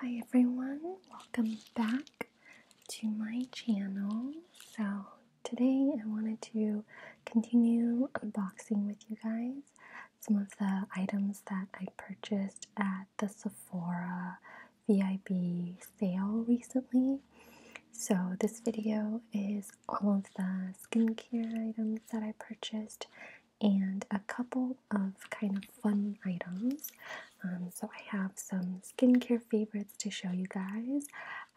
Hi everyone, welcome back to my channel. So today I wanted to continue unboxing with you guys some of the items that I purchased at the Sephora VIP sale recently. So this video is all of the skincare items that I purchased and a couple of kind of fun items. Um, so I have some skincare favorites to show you guys,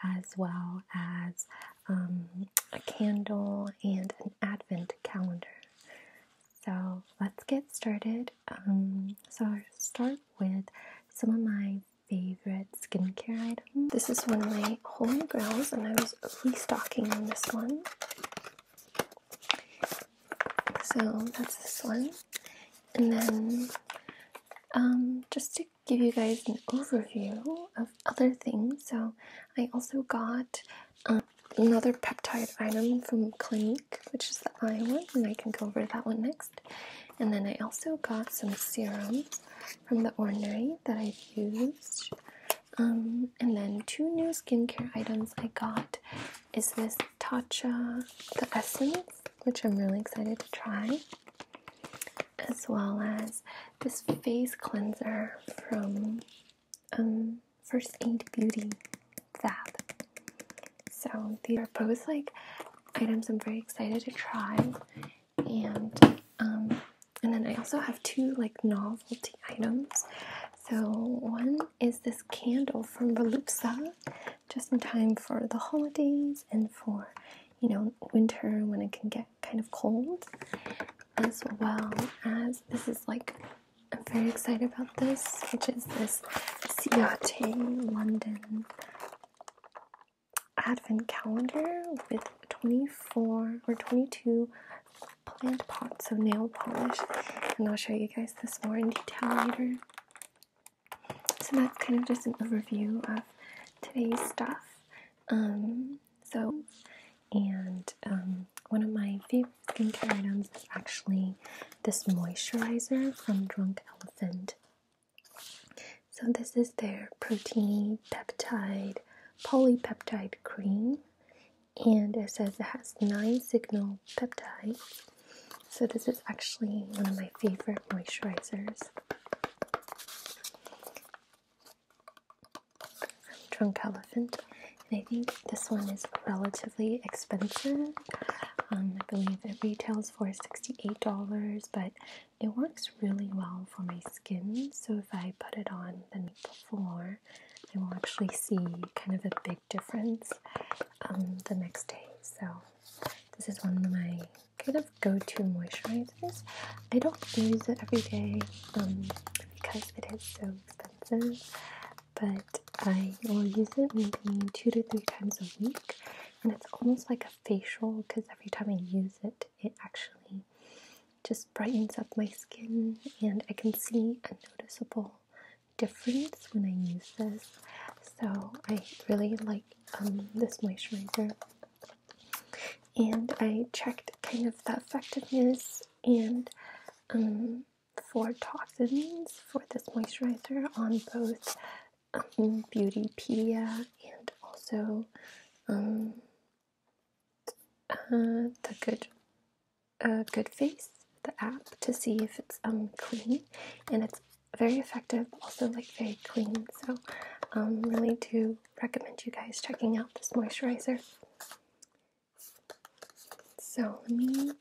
as well as um, a candle and an advent calendar. So let's get started. Um, so I'll start with some of my favorite skincare items. This is one of my holy grails, and I was restocking on this one. So that's this one. And then um, just to give you guys an overview of other things, so I also got um, another peptide item from Clinique, which is the eye one, and I can go over that one next. And then I also got some serums from The Ordinary that I've used. Um, and then two new skincare items I got is this Tatcha the Essence, which I'm really excited to try, as well as this face cleanser from um, First Aid Beauty Fab. So these are both like items I'm very excited to try, and um, and then I also have two like novelty items. So one is this candle from Volupsa, just in time for the holidays and for, you know, winter when it can get kind of cold, as well as this is like I'm very excited about this, which is this Ciotte London Advent calendar with 24 or 22 plant pots of nail polish, and I'll show you guys this more in detail later. So that's kind of just an overview of today's stuff. Um, so, and um, one of my favorite skincare items is actually this moisturizer from Drunk Elephant. So this is their protein peptide polypeptide cream and it says it has nine signal peptides. So, this is actually one of my favorite moisturizers from Drunk Elephant. And I think this one is relatively expensive. Um, I believe it retails for $68, but it works really well for my skin. So if I put it on, then before, I will actually see kind of a big difference um, the next day. So this is one of my kind of go-to moisturizers. I don't use it every day um, because it is so expensive, but I will use it maybe two to three times a week. And it's almost like a facial because every time I use it, it actually just brightens up my skin, and I can see a noticeable difference when I use this. So I really like um, this moisturizer, and I checked kind of the effectiveness and um, for toxins for this moisturizer on both um, Beautypedia and also um, uh, a Good Face, the app, to see if it's um clean, and it's very effective. Also, like very clean. So, um, really do recommend you guys checking out this moisturizer. So let me,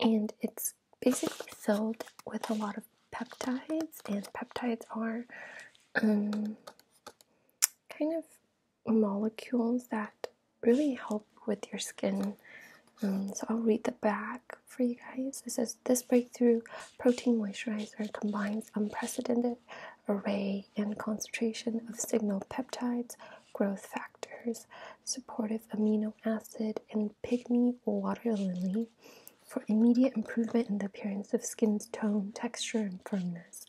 and it's basically filled with a lot of peptides, and peptides are um, kind of molecules that really help with your skin. Um, so I'll read the back for you guys. It says this breakthrough protein moisturizer combines unprecedented array and concentration of signal peptides, growth factors, supportive amino acid, and pigmy water lily for immediate improvement in the appearance of skin tone, texture, and firmness.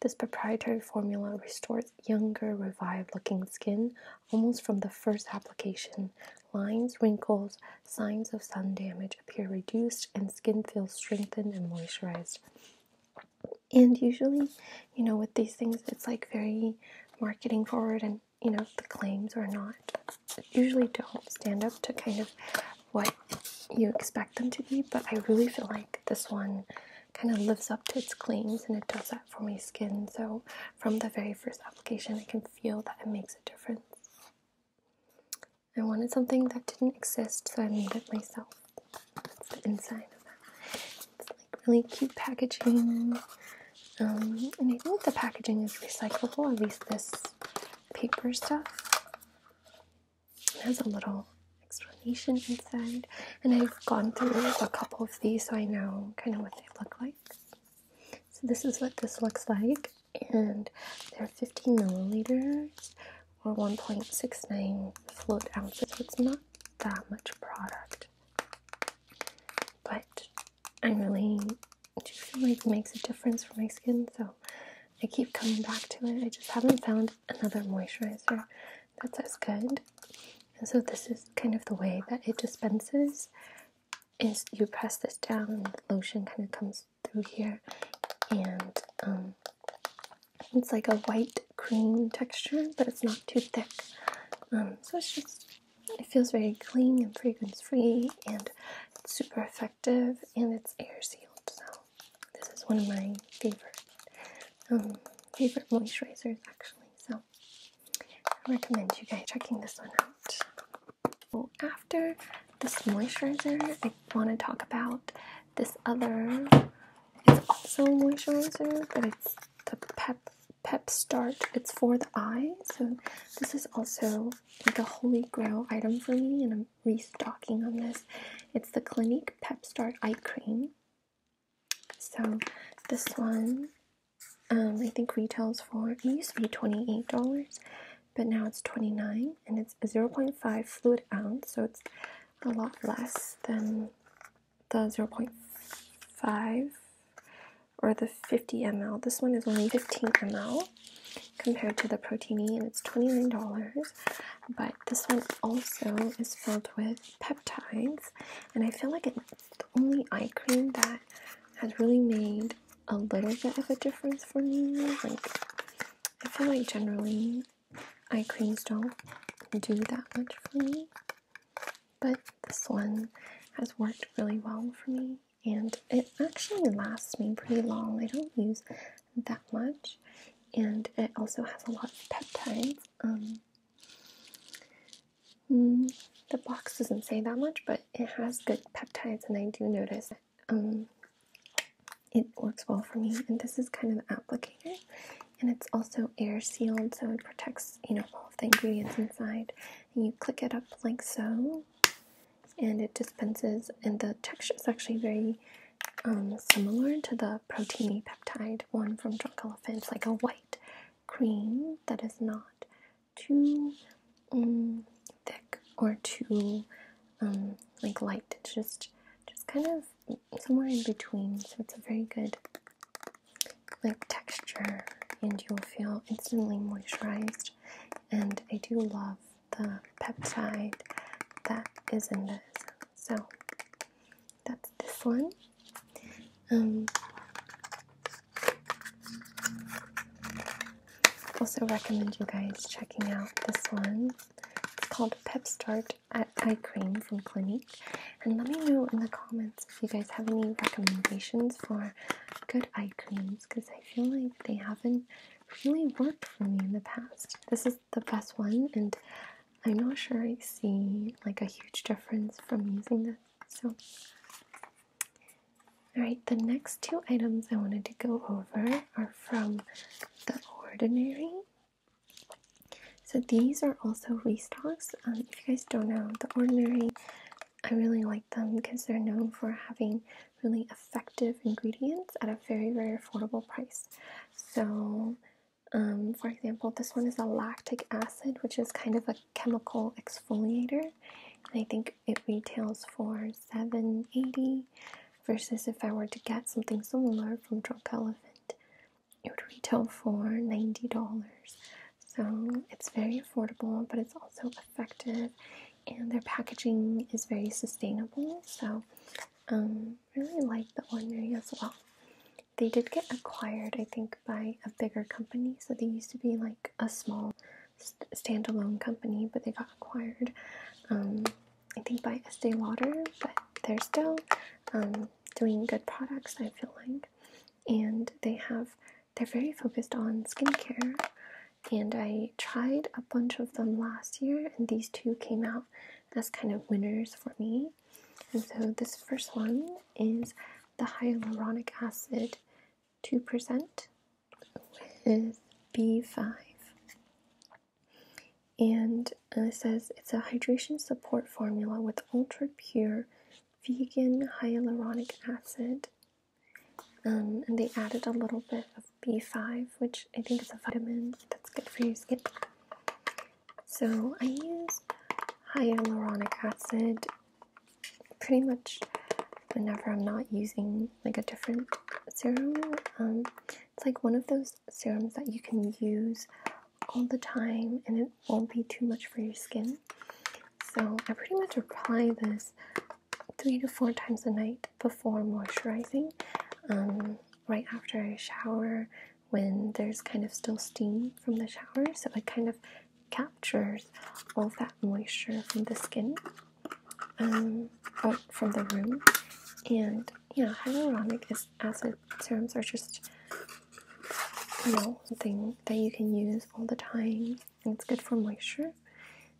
This proprietary formula restores younger, revived looking skin almost from the first application. Lines, wrinkles, signs of sun damage appear reduced, and skin feels strengthened and moisturized. And usually, you know, with these things, it's like very marketing forward, and you know, the claims are not usually don't stand up to kind of what you expect them to be. But I really feel like this one kind of lives up to its claims and it does that for my skin. So, from the very first application, I can feel that it makes a difference. I wanted something that didn't exist, so I made it myself. That's the inside of that. It's like really cute packaging. Um, and I think the packaging is recyclable, at least this paper stuff. It has a little explanation inside, and I've gone through a couple of these so I know kind of what they look like. So this is what this looks like, and they're 15 milliliters or 1.69 fluid ounces. So it's not that much product, but I really do feel like it makes a difference for my skin, so I keep coming back to it. I just haven't found another moisturizer that says good. And so this is kind of the way that it dispenses is you press this down and the lotion kind of comes through here and um, it's like a white cream texture but it's not too thick um, so it's just it feels very clean and fragrance free and it's super effective and it's air sealed so this is one of my favorite um, favorite moisturizers, actually. So I recommend you guys checking this one out. after this moisturizer, I want to talk about this other. It's also a moisturizer, but it's the Pep Pep Start. It's for the eye, so this is also like a holy grail item for me, and I'm restocking on this. It's the Clinique PepStart Eye Cream. So this one, um, I think retails for, it used to be $28, but now it's 29 and it's 0.5 fluid ounce, so it's a lot less than the 0.5 or the 50 ml. This one is only 15 ml compared to the Proteini and it's $29, but this one also is filled with peptides, and I feel like it's the only eye cream that has really made a little bit of a difference for me. Like, I feel like generally eye creams don't do that much for me, but this one has worked really well for me. And it actually lasts me pretty long. I don't use that much, and it also has a lot of peptides. Um, mm, the box doesn't say that much, but it has good peptides, and I do notice um, it works well for me. And this is kind of the applicator, and it's also air sealed, so it protects you know all of the ingredients inside. And you click it up like so, and it dispenses. And the texture is actually very um, similar to the proteiny peptide one from drunk elephants, like a white cream that is not too um, thick or too um, like light. It's just just kind of somewhere in between. So it's a very good like texture, and you'll feel instantly moisturized. And I do love the peptide that is in this. So that's this one. Um, also recommend you guys checking out this one. It's called PepStart Eye Cream from Clinique. And let me know in the comments if you guys have any recommendations for good eye creams because I feel like they haven't really worked for me in the past. This is the best one, and I'm not sure I see like a huge difference from using this. So, alright, the next two items I wanted to go over are from The Ordinary. So, these are also restocks. Um, if you guys don't know, The Ordinary, I really like them because they're known for having really effective ingredients at a very, very affordable price. So, um, for example, this one is a lactic acid, which is kind of a chemical exfoliator, and I think it retails for seven eighty. Versus if I were to get something similar from Drunk Elephant, it would retail for ninety dollars. So it's very affordable, but it's also effective, and their packaging is very sustainable. So, um, really like the ornery as well. They did get acquired, I think, by a bigger company. So they used to be like a small st standalone company, but they got acquired, um, I think, by Estee Lauder. But they're still um, doing good products, I feel like. And they have, they're very focused on skincare. And I tried a bunch of them last year, and these two came out have as kind of winners for me. And so this first one is the hyaluronic acid 2% with B5. And uh, it says it's a hydration support formula with ultra pure vegan hyaluronic acid. Um, and they added a little bit of B5, which I think is a vitamin that's good for your skin. So I use hyaluronic acid pretty much whenever I'm not using like a different serum. Um, it's like one of those serums that you can use all the time and it won't be too much for your skin. So I pretty much apply this three to four times a night before moisturizing, um, right after I shower when there's kind of still steam from the shower, so it kind of captures all that moisture from the skin, um, or from the room. And yeah, hyaluronic acid serums are just you know thing that you can use all the time, it's good for moisture.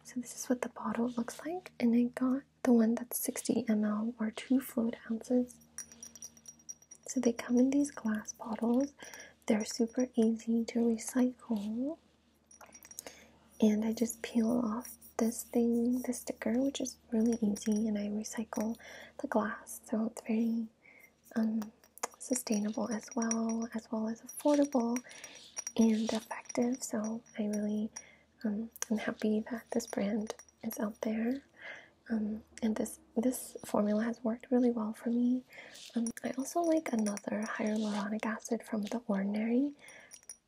So this is what the bottle looks like, and it got the one that's 60 ml or 2 fluid ounces. So they come in these glass bottles. They're super easy to recycle. And I just peel off this thing, the sticker, which is really easy, and I recycle the glass. So it's very um, sustainable as well, as well as affordable and effective. So I really um, I'm happy that this brand is out there, um, and this this formula has worked really well for me. Um, I also like another hyaluronic acid from The Ordinary,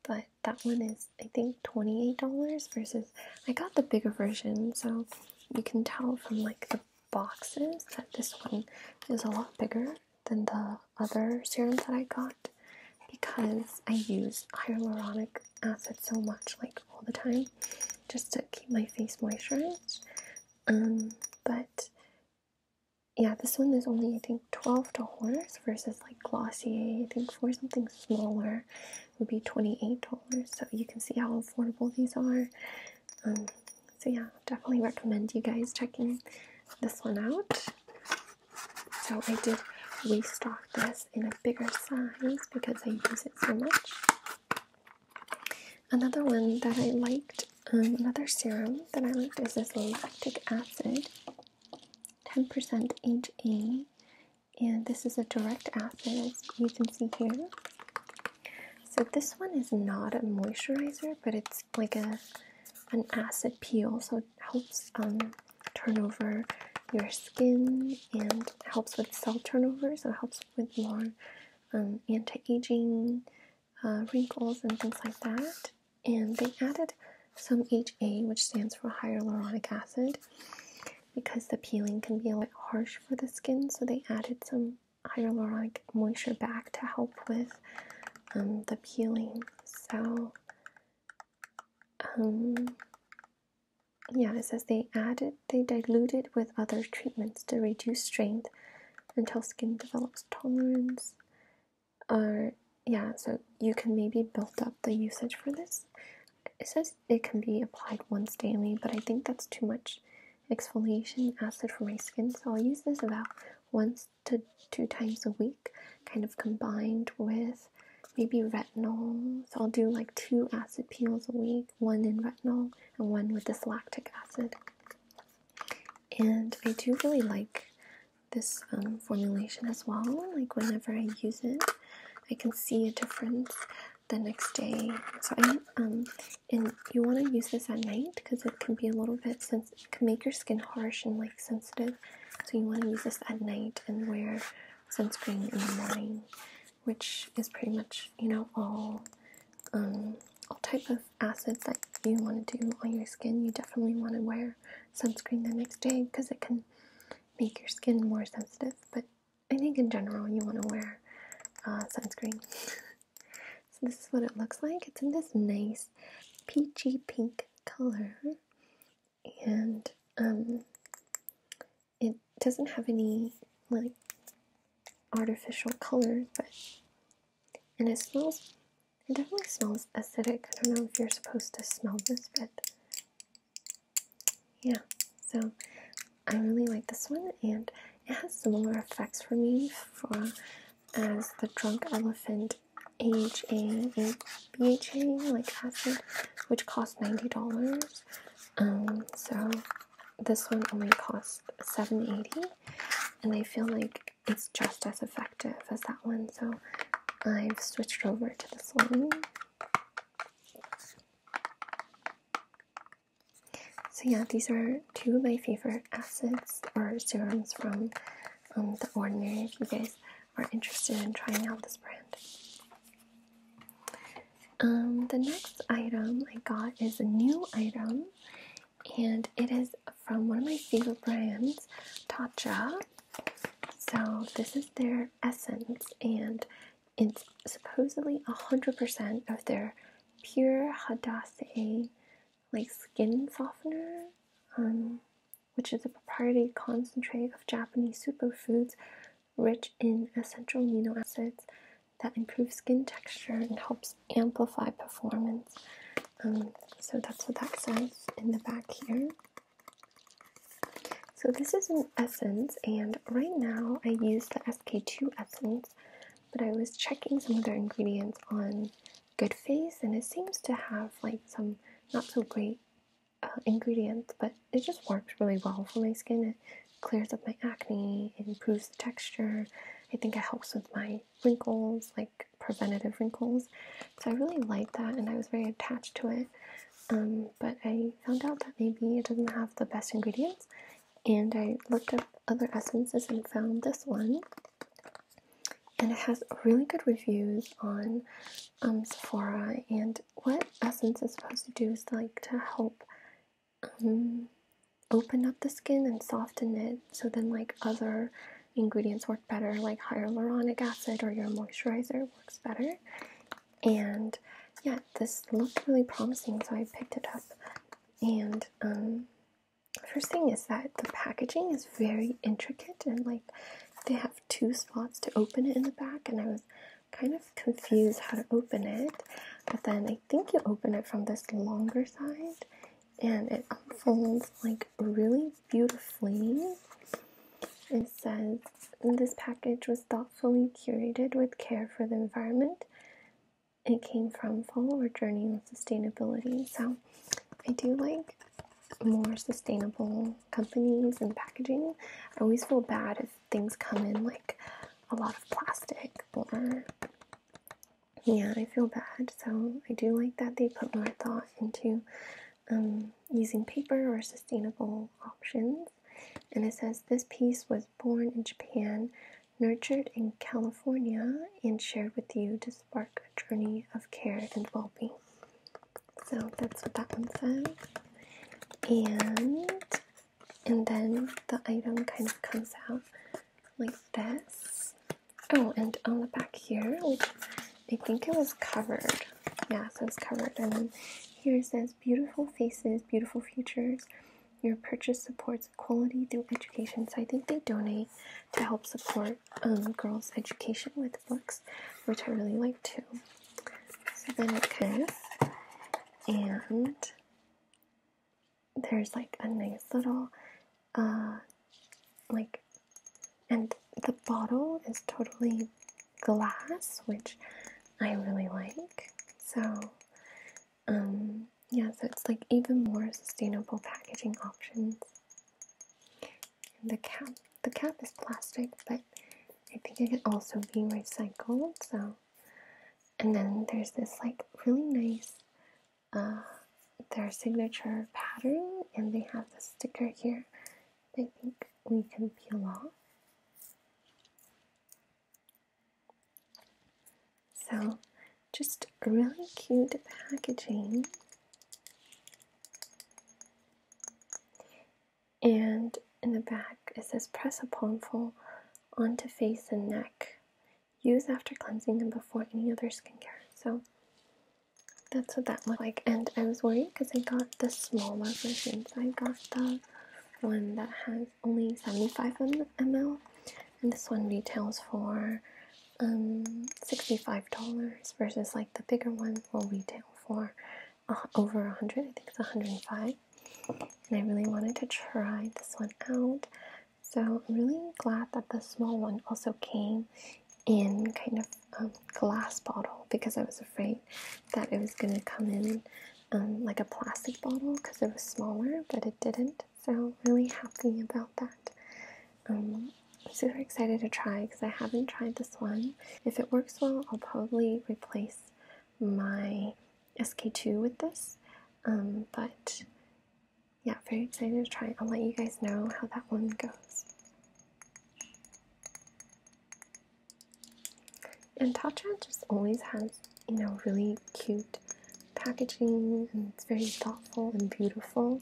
but that one is I think twenty eight dollars versus I got the bigger version, so you can tell from like the boxes that this one is a lot bigger than the other serums that I got because I use hyaluronic acid so much, like all the time, just to keep my face moisturized. Um, but yeah, this one is only I think twelve dollars versus like Glossier. I think for something smaller would be twenty eight dollars. So you can see how affordable these are. Um, so yeah, definitely recommend you guys checking this one out. So I did restock this in a bigger size because I use it so much. Another one that I liked, um, another serum that I liked is this lactic acid, 10% HA, and this is a direct acid as you can see here. So this one is not a moisturizer, but it's like a an acid peel, so it helps um, turnover your skin and helps with cell turnover, so it helps with more um, anti-aging, uh, wrinkles, and things like that. And they added some HA, which stands for hyaluronic acid, because the peeling can be a bit harsh for the skin, so they added some hyaluronic moisture back to help with um, the peeling. So um, yeah, it says they added, they diluted with other treatments to reduce strength until skin develops tolerance. Or yeah, so you can maybe build up the usage for this. It says it can be applied once daily, but I think that's too much exfoliation acid for my skin, so I'll use this about once to two times a week, kind of combined with maybe retinol. So I'll do like two acid peels a week, one in retinol and one with this lactic acid. And I do really like this um, formulation as well. Like whenever I use it, I can see a difference the next day. So I um and you want to use this at night because it can be a little bit sensitive sensitive, can make your skin harsh and like sensitive. So you want to use this at night and wear sunscreen in the morning, which is pretty much you know all um, all type of acids that you want to do on your skin. You definitely want to wear sunscreen the next day because it can make your skin more sensitive. But I think in general you want to wear uh, sunscreen. so this is what it looks like. It's in this nice peachy pink color and um, it doesn't have any like artificial colors, but and it smells. It definitely smells acidic. I don't know if you're supposed to smell this, but yeah. So I really like this one, and it has similar effects for me for as the drunk elephant H A B H A like acid, which cost $90. Um, so this one only costs seven eighty, dollars and I feel like it's just as effective as that one, so I've switched over to this one. So yeah, these are two of my favorite acids or serums from um, The Ordinary if you guys are interested in trying out this brand. Um, the next item I got is a new item, and it is from one of my favorite brands, Tatcha. So this is their essence, and it's supposedly 100% of their pure Hadassah like skin softener, um, which is a proprietary concentrate of Japanese superfoods rich in essential amino acids that improve skin texture and helps amplify performance. Um, so that's what that says in the back here. So this is an essence, and right now I use the SK2 essence, but I was checking some other ingredients on good face and it seems to have like some not so great uh, ingredients, but it just works really well for my skin it clears up my acne it improves the texture i think it helps with my wrinkles like preventative wrinkles so i really like that and i was very attached to it um, but i found out that maybe it doesn't have the best ingredients and i looked up other essences and found this one and it has really good reviews on um, Sephora. And what Essence is supposed to do is like to help um, open up the skin and soften it, so then like other ingredients work better, like hyaluronic acid or your moisturizer works better. And yeah, this looked really promising, so I picked it up. And um, First thing is that the packaging is very intricate and like they have two spots to open it in the back, and I was kind of confused how to open it. But then I think you open it from this longer side and it unfolds like really beautifully. It says this package was thoughtfully curated with care for the environment. It came from Follower Journey on Sustainability. So I do like more sustainable companies and packaging. I always feel bad if things come in like a lot of plastic or yeah, I feel bad. So I do like that they put more thought into um, using paper or sustainable options. And it says this piece was born in Japan, nurtured in California, and shared with you to spark journey of care and bulby. So that's what that one says. And and then the item kind of comes out like this. Oh, and on the back here, which I think it was covered. Yeah, so it's covered. And then here says beautiful faces, beautiful futures. Your purchase supports quality through education. So I think they donate to help support um, girls' education with books, which I really like too. So then it goes, and there's like a nice little, uh, like, and the bottle is totally glass, which I really like. So, um, yeah, so it's like even more sustainable packaging options. the cap, the cap is plastic, but I think it can also be recycled. So, and then there's this like really nice, uh, their signature pattern, and they have the sticker here. I think we can peel off. So, just really cute packaging. And in the back, it says press a palmful onto face and neck. Use after cleansing and before any other skincare. So, that's what that looked like. And I was worried because I got the smaller version. So, I got the one that has only 75 ml and this one retails for um, $65 versus like the bigger one will retail for uh, over 100 I think it's 105 and I really wanted to try this one out so I'm really glad that the small one also came in kind of a um, glass bottle because I was afraid that it was going to come in um, like a plastic bottle because it was smaller, but it didn't. So really happy about that. I'm um, super excited to try because I haven't tried this one. If it works well, I'll probably replace my SK2 with this. Um, but yeah, very excited to try I'll let you guys know how that one goes. And Tatcha just always has, you know, really cute packaging and it's very thoughtful and beautiful.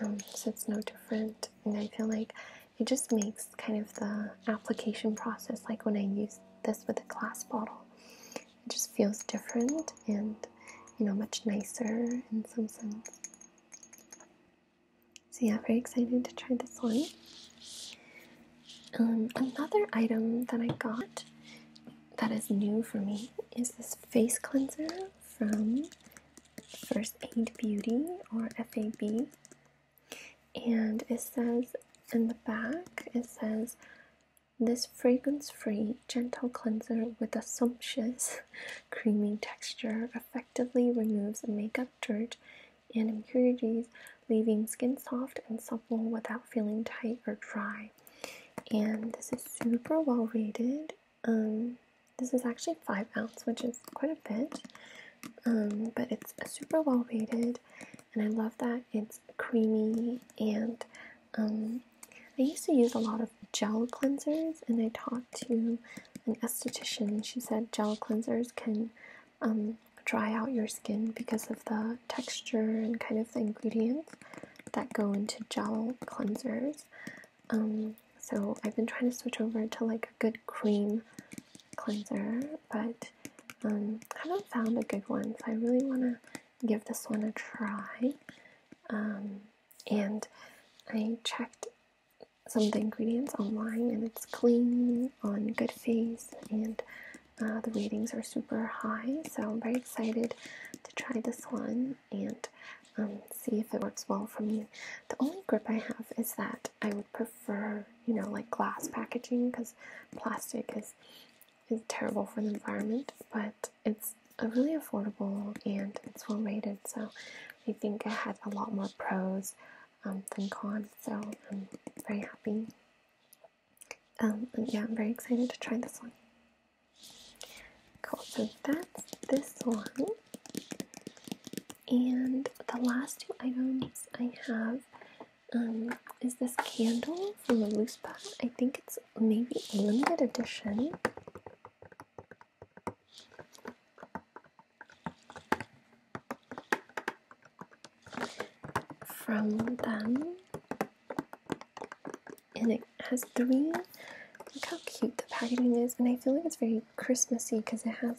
Um, so it's no different, and I feel like it just makes kind of the application process like when I use this with a glass bottle, it just feels different and you know much nicer in some sense. So yeah, very excited to try this one. Um, another item that I got that is new for me is this face cleanser from First Aid Beauty or FAB. And it says in the back, it says this fragrance free gentle cleanser with a sumptuous creamy texture effectively removes makeup dirt and impurities, leaving skin soft and supple without feeling tight or dry and this is super well rated. Um, this is actually five ounce, which is quite a bit, um, but it's super well rated, and I love that it's creamy. And um, I used to use a lot of gel cleansers, and I talked to an esthetician, and she said gel cleansers can dry out your skin because of the texture and kind of the ingredients that go into gel cleansers. Um, so I've been trying to switch over to like a good cream cleanser, but um, haven't found a good one. So I really want to give this one a try. Um, and I checked some of the ingredients online, and it's clean on Good Face, and uh, the ratings are super high. So I'm very excited to try this one and um, see if it works well for me. The only grip I have is that I would prefer, you know, like glass packaging because plastic is is terrible for the environment, but it's really affordable and it's well rated. So I think I had a lot more pros um, than cons. So I'm very happy. Um, yeah, I'm very excited to try this one. Cool, so that's this one. And the last two items I have um, is this candle from a loose pack. I think it's maybe a limited edition. From them, and it has three. Look how cute the packaging is, and I feel like it's very Christmassy because it has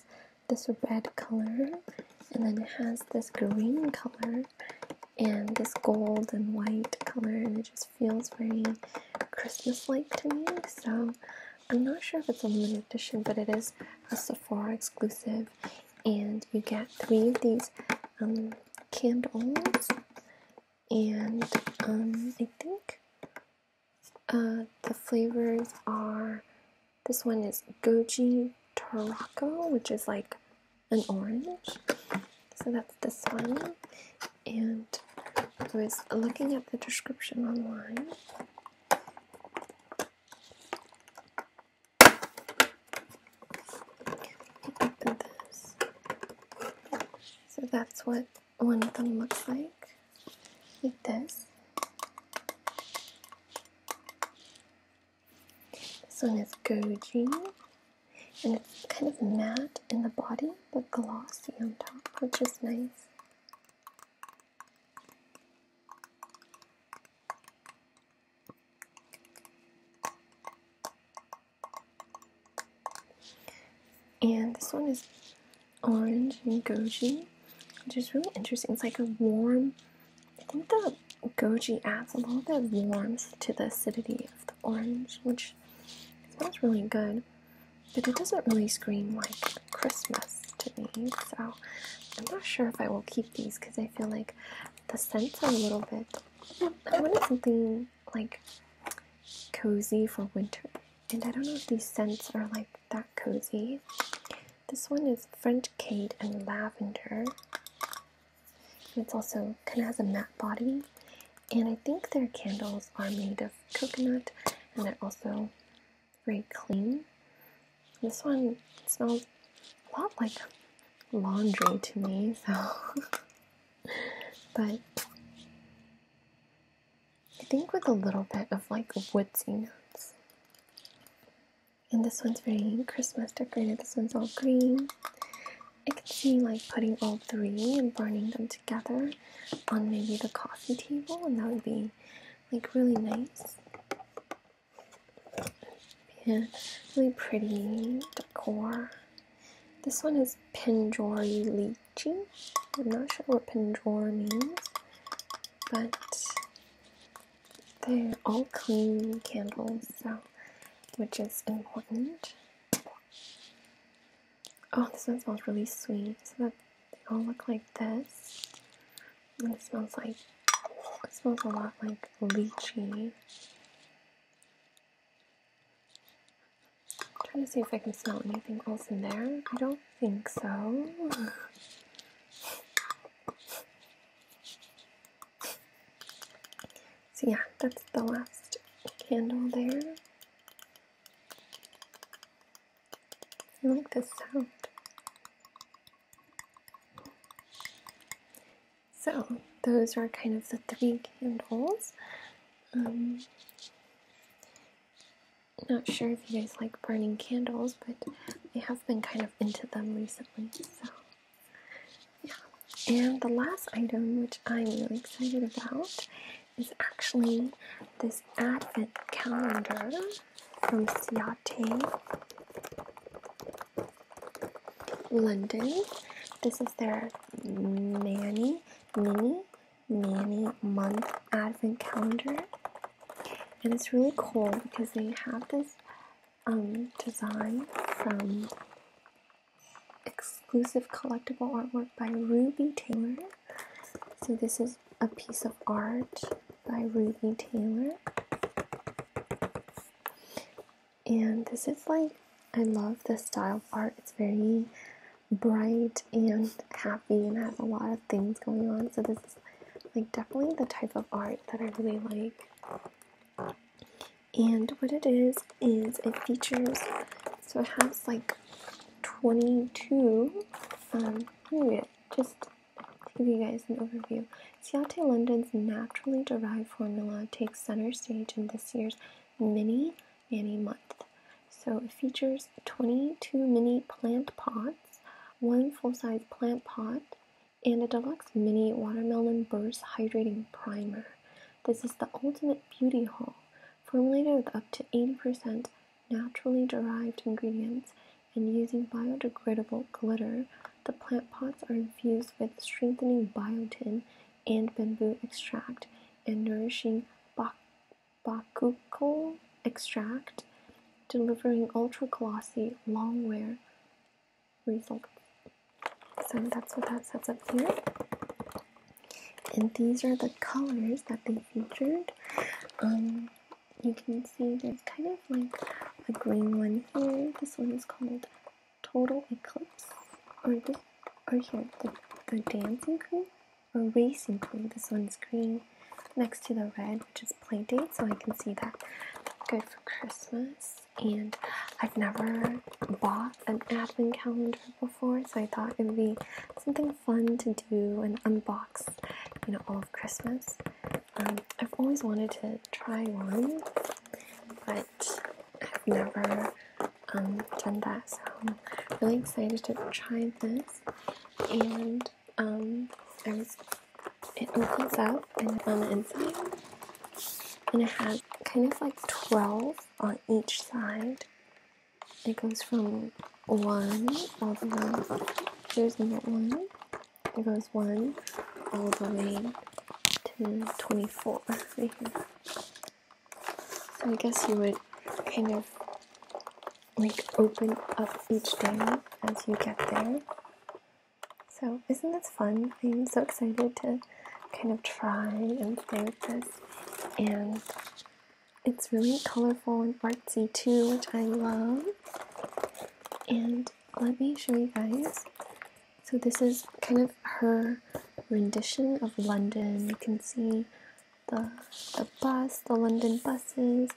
this red color, and then it has this green color, and this gold and white color, and it just feels very Christmas like to me. So I'm not sure if it's a limited edition, but it is a Sephora exclusive, and you get three of these um, candles and um, I think uh, the flavors are this one is goji tarako, which is like an orange. So that's this one. And I was looking at the description online. So that's what one of them looks like. Like this. This one is goji. And it's kind of matte in the body, but glossy on top, which is nice. And this one is orange and goji, which is really interesting. It's like a warm, I think the goji adds a little bit of warmth to the acidity of the orange, which smells really good. But it doesn't really scream like Christmas to me, so I'm not sure if I will keep these because I feel like the scent's a little bit I wanted something like cozy for winter, and I don't know if these scents are like that cozy. This one is French Kate and Lavender. It's also kind of has a matte body, and I think their candles are made of coconut, and they're also very clean. This one smells a lot like laundry to me, so but I think with a little bit of like woodsy notes. And this one's very Christmas decorated, this one's all green. I could see like putting all three and burning them together on maybe the coffee table and that would be like really nice and really pretty decor. This one is Pinjori Lychee. I'm not sure what Pinjori means, but they're all clean candles, so which is important. Oh, this one smells really sweet. So that they all look like this. And it smells like it smells a lot like lychee. I'm trying to see if I can smell anything else in there. I don't think so. So, yeah, that's the last candle there. I like this sound. So, those are kind of the three candles. Um, not sure if you guys like burning candles, but I have been kind of into them recently. So, yeah. And the last item, which I'm really excited about, is actually this advent calendar from Ciate. London. This is their Manny mini, Manny month advent calendar, and it's really cool because they have this um, design from exclusive collectible artwork by Ruby Taylor. So this is a piece of art by Ruby Taylor and this is like I love the style of art. It's very bright and happy and has a lot of things going on. So this is like definitely the type of art that I really like. And what it is is it features so it has like 22 um, just to give you guys an overview Ciate London's naturally derived formula takes center stage in this year's Mini Nanny Month. So it features 22 mini plant pots, one full-size plant pot, and a deluxe mini watermelon burst hydrating primer. This is the ultimate beauty haul, formulated with up to 80% naturally derived ingredients and using biodegradable glitter the plant pots are infused with strengthening biotin and bamboo extract and nourishing bak bakuchiol extract, delivering ultra glossy long wear results. So that's what that sets up here. And these are the colors that they featured. Um, you can see there's kind of like a green one here. This one is called Total Eclipse, or this, or here, the, Dancing Queen, or Racing Queen. This one's green next to the red, which is play date, so I can see that. Good for Christmas. And I've never bought an advent calendar before, so I thought it would be something fun to do and unbox, you know, all of Christmas. Um, I've always wanted to try one but I've never um, done that, so I'm really excited to try this. And um, it opens up and on um, the inside, and it has kind of like 12 on each side. It goes from one all the way. There's another one. It goes one all the way to 24 right here. So I guess you would kind of like open up each day as you get there. So isn't this fun? I'm so excited to kind of try and play with this. And it's really colorful and artsy too, which I love. And let me show you guys so this is kind of her rendition of London. You can see the the bus, the London buses,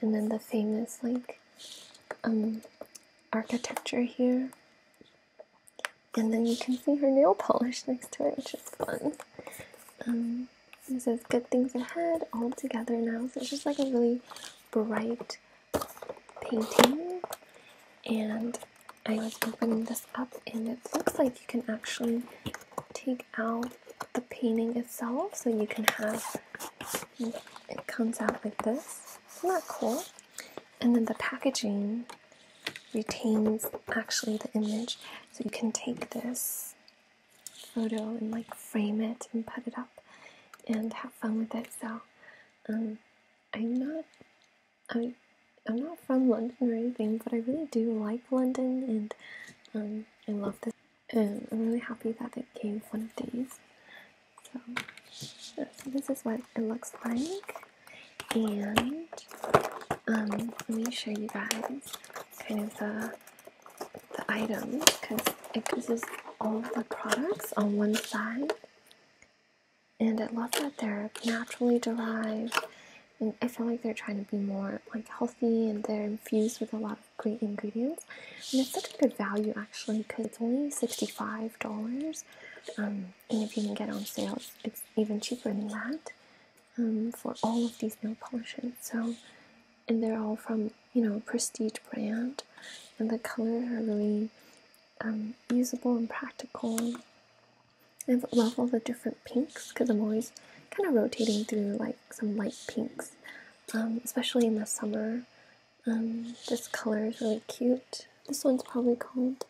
and then the famous like um architecture here. And then you can see her nail polish next to it, which is fun. Um, it says good things ahead all together now. So it's just like a really bright painting and I was opening this up and it looks like you can actually take out the painting itself so you can have it comes out like this. Isn't that cool? And then the packaging retains actually the image so you can take this photo and like frame it and put it up and have fun with it. So um, I'm not, I, I'm not from London or anything, but I really do like London, and um, I love this. And um, I'm really happy that it came one of these. So, this is what it looks like, and um, let me show you guys kind of the the items because it gives us all the products on one side. And I love that they're naturally derived. And I feel like they're trying to be more like healthy and they're infused with a lot of great ingredients. And it's such a good value actually because it's only $65. Um, and if you can get on sales, it's even cheaper than that um, for all of these nail polishes. So, and they're all from you know, prestige brand, and the colors are really um, usable and practical. I love all the different pinks because I'm always kind of rotating through like some light pinks, um, especially in the summer. Um, this color is really cute. This one's probably called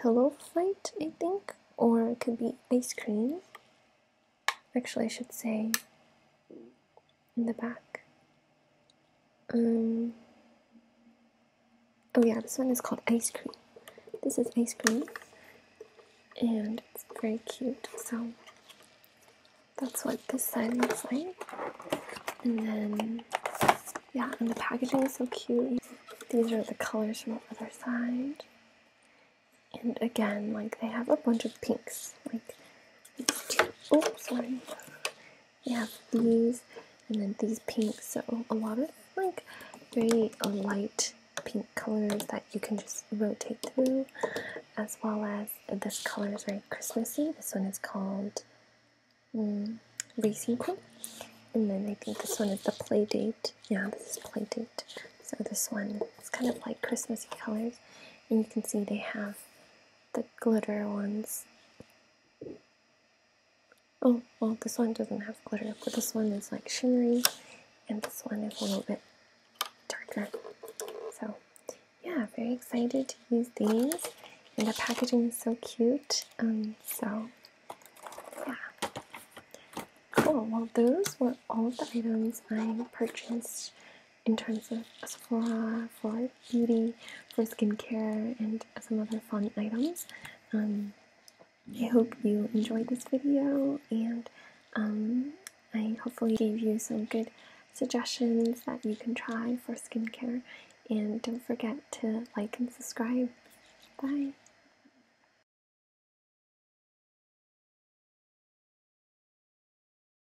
Pillow Fight, I think, or it could be Ice Cream. Actually, I should say in the back. Um, oh yeah, this one is called Ice Cream. This is Ice Cream, and it's very cute. So that's what this side looks like. And then, yeah, and the packaging is so cute. These are the colors from the other side. And again, like they have a bunch of pinks. Like oh sorry we have these and then these pinks so a lot of like very uh, light pink colors that you can just rotate through as well as this color is very Christmassy this one is called um, mm, Racing Queen and then I think this one is the play date yeah this is play date so this one is kind of like Christmassy colors and you can see they have the glitter ones. Oh, well, this one doesn't have glitter, but this one is like shimmery, and this one is a little bit darker. So, yeah, very excited to use these, and the packaging is so cute. Um, so, yeah. Cool, well, those were all the items I purchased in terms of Sephora for beauty, for skincare, and some other fun items. Um, I hope you enjoyed this video, and um, I hopefully gave you some good suggestions that you can try for skincare. And don't forget to like and subscribe. Bye.